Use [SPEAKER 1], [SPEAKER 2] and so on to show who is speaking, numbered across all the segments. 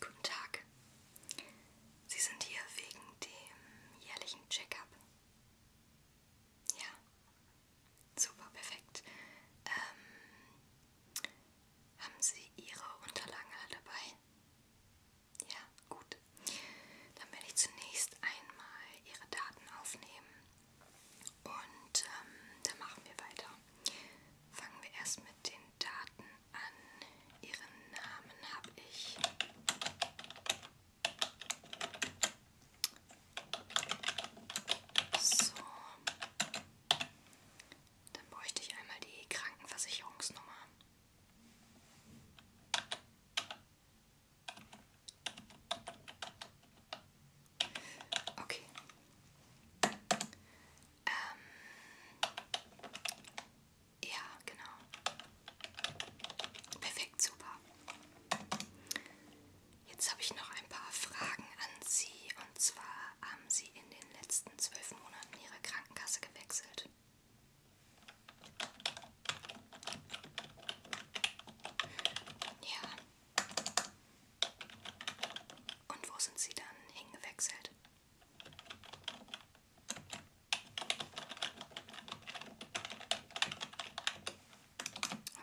[SPEAKER 1] Guten Tag. Sie sind hier wegen dem jährlichen Check-up. Ja. Super, perfekt. Ähm, haben Sie Ihre Unterlagen alle dabei? Ja, gut. Dann werde ich zunächst einmal Ihre Daten aufnehmen und ähm, dann machen wir weiter. Fangen wir erst mit den Daten an. Ihren Namen habe ich. So. Dann bräuchte ich einmal die Krankenversicherungsnummer. Okay. Ähm, ja, genau. Perfekt, super. Jetzt habe ich noch ein paar Fragen an Sie. Und zwar haben Sie in den letzten zwölf Monaten Ihre Krankenkasse gewechselt? Ja. Und wo sind Sie dann hingewechselt?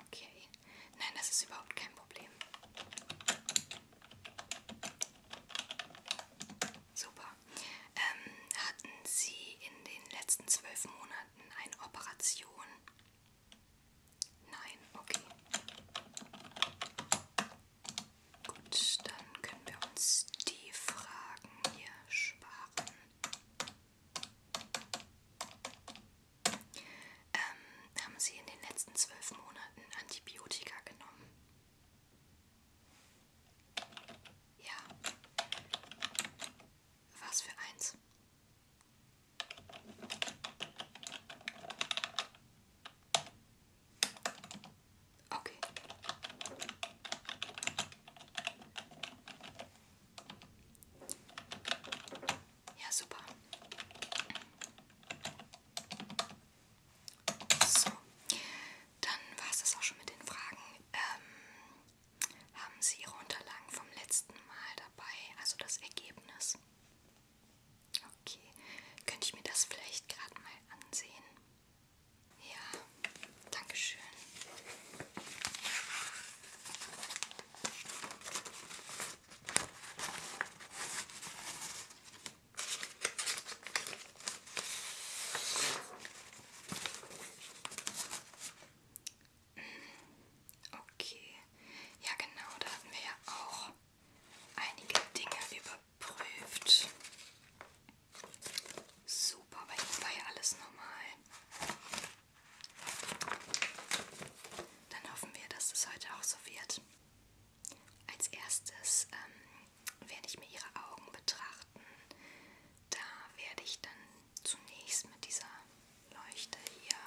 [SPEAKER 1] Okay. Nein, das ist überhaupt kein Problem. Super. Ähm, hatten Sie in den letzten zwölf Monaten eine Operation Nein, okay. Gut, dann können wir uns die Fragen hier sparen. Ähm, haben Sie in den letzten zwölf Monaten Antibiotika genommen? Ja. Was für eins? Okay. Ja, super. So, dann war es das auch schon mit den Fragen. Ähm, haben Sie Ihre Unterlagen vom letzten Mal dabei, also das Ergebnis? Okay, könnte ich mir das vielleicht gerade mal ansehen? Ja, danke schön. Okay. Ja genau, da hatten wir ja auch einige Dinge überprüft. Super, bei ihm war ja alles normal. Dann hoffen wir, dass es das heute auch so wird. Als erstes ähm, werde ich mir ihre Augen betrachten. Da werde ich dann zunächst mit dieser Leuchte hier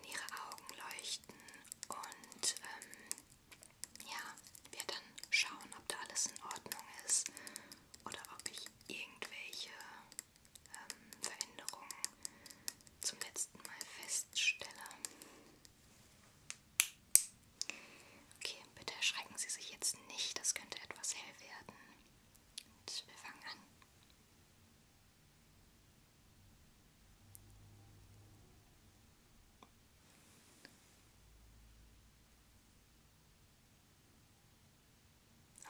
[SPEAKER 1] in ihre Augen leuchten und ähm, ja, wir dann schauen, ob da alles in Ordnung ist oder ob ich irgendwelche ähm, Veränderungen zum letzten Mal feststelle. Okay, bitte erschrecken Sie sich jetzt nicht, das könnte etwas hell werden. Und wir fangen an.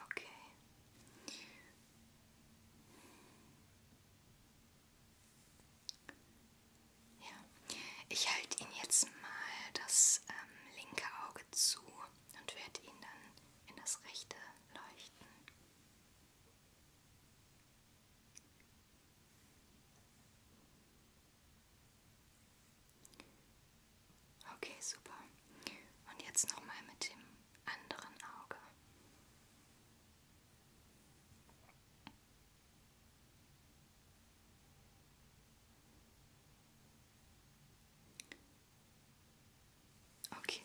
[SPEAKER 1] Okay. Ja. Ich halte Ihnen jetzt mal das ähm, linke Auge zu und werde ihn dann in das rechte leuchten. Okay, super. Und jetzt nochmal mit dem anderen Auge. Okay.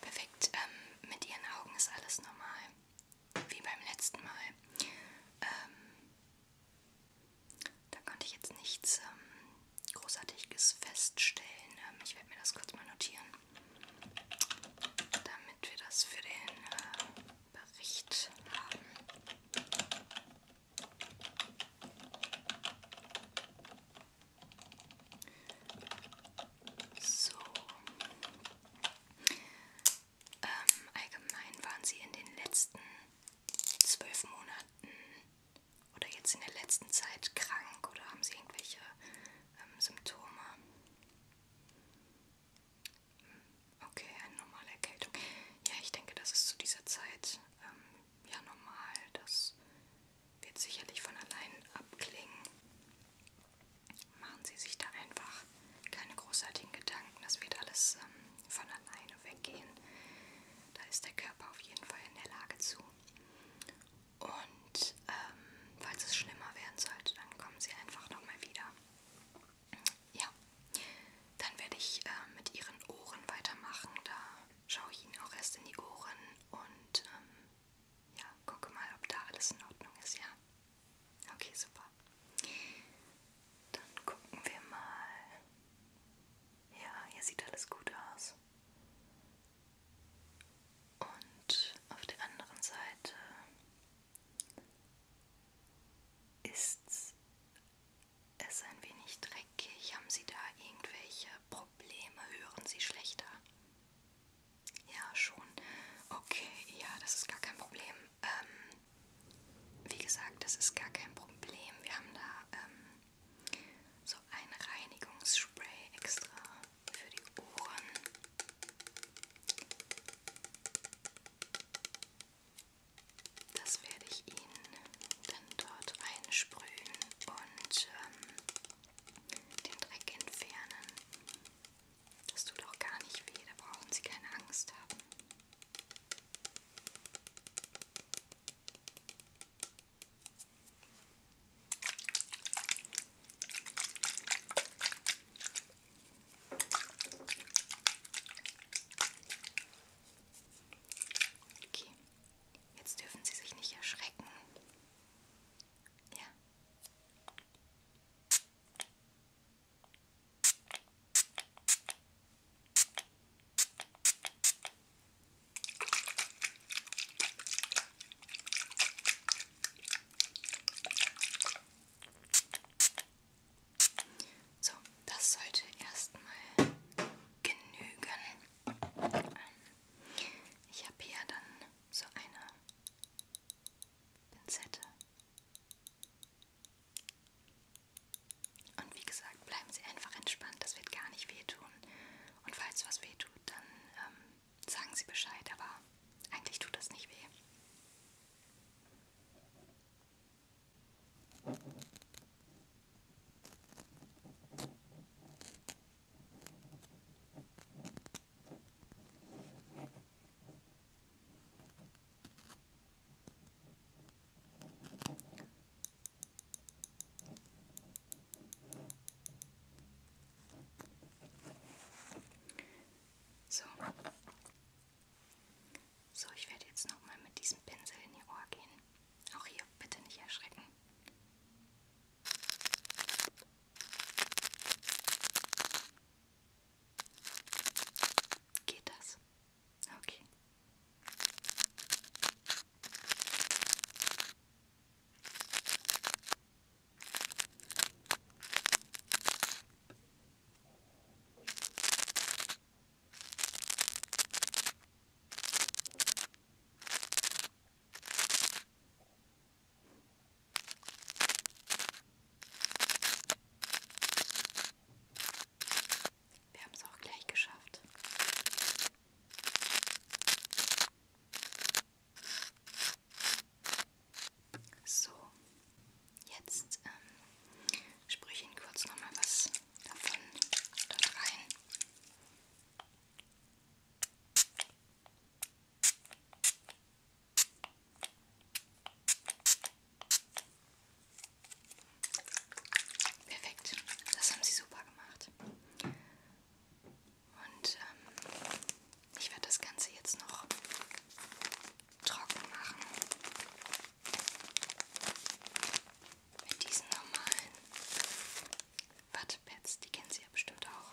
[SPEAKER 1] Perfekt. Ähm, mit Ihren Augen ist alles normal. Wie beim letzten Mal. Ähm, da konnte ich jetzt nichts ähm, Großartiges feststellen. Ähm, ich werde mir das kurz mal notieren damit wir das für den äh, Bericht haben. So. Ähm, allgemein waren sie in den letzten zwölf Monaten oder jetzt in der letzten Zeit krank oder haben sie irgendwelche ähm, Symptome? Okay, eine normale Erkältung. Ja, ich denke, das ist zu dieser Zeit ähm, ja normal. Das wird sicherlich von allein abklingen. Machen Sie sich da einfach keine großartigen Gedanken. Das wird alles ähm, von alleine weggehen. Da ist der Körper auf jeden Fall in der Lage zu. Und ähm, falls es schlimmer werden sollte, dann kommen sie einfach nochmal wieder. Ja, dann werde ich äh, mit ihren Ohren weitermachen. Da schaue ich ihnen auch erst in die Ohren und ähm, ja, gucke mal, ob da alles in Ordnung ist, ja. Okay, super. Dann gucken wir mal. Ja, hier sieht alles gut aus. Und auf der anderen Seite ist es ein wenig dreckig. Haben Sie da irgendwelche Probleme? Hören Sie schlechter? Ja, schon. Okay, ja, das ist gar kein Problem. Ähm, wie gesagt, das ist gar kein Problem. Wir haben da ähm, so ein Reinigungsspray extra für die Ohren. Das werde ich Ihnen dann dort einsprühen und ähm, den Dreck entfernen. Das tut auch gar nicht weh, da brauchen Sie keine Angst haben. Okay, jetzt dürfen Sie sich nicht erschrecken. Ja. So, das sollte erstmal genügen. Ähm, ich habe hier dann so eine Pinzette. Und wie gesagt, bleiben Sie einfach entspannt, das wird gar nicht wehtun. Und falls was wehtut, dann ähm, sagen Sie Bescheid, aber eigentlich tut das nicht weh. So. So, ich werde jetzt nochmal mit diesem Pinsel in Ihr Ohr gehen. Auch hier, bitte nicht erschrecken. Geht das? Okay. Wir haben es auch gleich geschafft. So, jetzt ähm, sprühe ich Ihnen kurz nochmal was davon dort rein. Perfekt, das haben sie super gemacht. Und ähm, ich werde das Ganze jetzt noch trocken machen. Mit diesen normalen Wattepads, die kennen Sie ja bestimmt auch.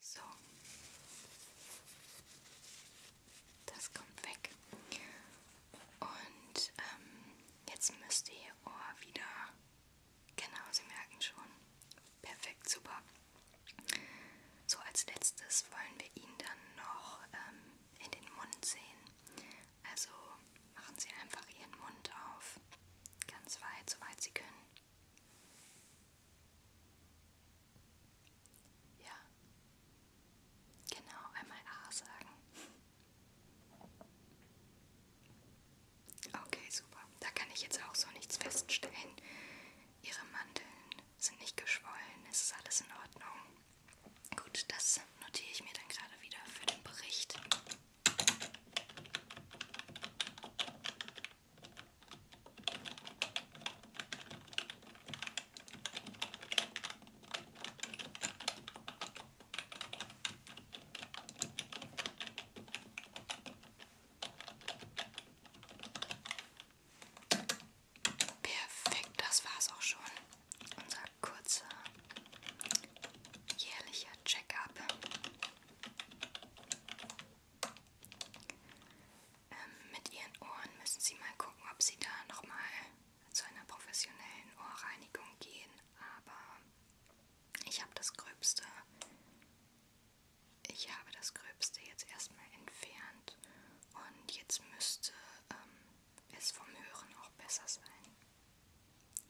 [SPEAKER 1] So. Das kommt weg. Und ähm, jetzt müsst ihr Ohr wieder, genau, Sie merken schon, Perfekt, super. So, als letztes wollen wir ihn dann noch ähm, in den Mund sehen. Also machen Sie einfach Ihren Mund auf, ganz weit, soweit Sie können. Ja, genau, einmal A sagen. Okay, super. Da kann ich jetzt auch so nichts feststellen. Ihre Mandeln sind nicht geschwollen, es ist alles in Ordnung. Gut, das notiere ich mir dann gerade wieder für den Bericht. Perfekt, das war's auch schon. Unser kurzer jährlicher Check-up. Ähm, mit Ihren Ohren müssen Sie mal gucken, ob Sie da nochmal zu einer professionellen Ohrreinigung gehen. Aber ich habe das Gröbste ich habe das Gröbste jetzt erstmal entfernt und jetzt müsste ähm, es vom Hören auch besser sein.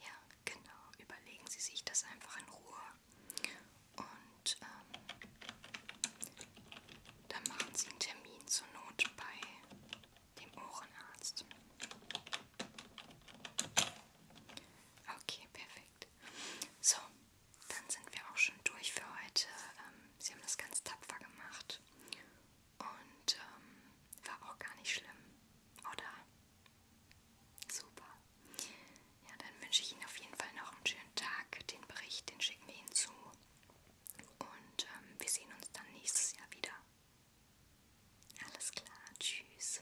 [SPEAKER 1] Ja, genau. Überlegen Sie sich das einfach in Ruhe und ähm, dann machen Sie einen Termin zur Not bei dem Ohrenarzt. Okay, perfekt perfekt. So, dann sind wir auch schon durch für heute. Ähm, Sie haben das ganz tapfer gemacht und ähm, war auch gar nicht schlimm, oder? Super. Ja, dann wünsche ich Ihnen auf jeden Fall noch einen schönen Tag. Den Bericht, den schicken wir Ihnen zu. Und ähm, wir sehen uns dann nächstes Jahr wieder. Alles klar, tschüss.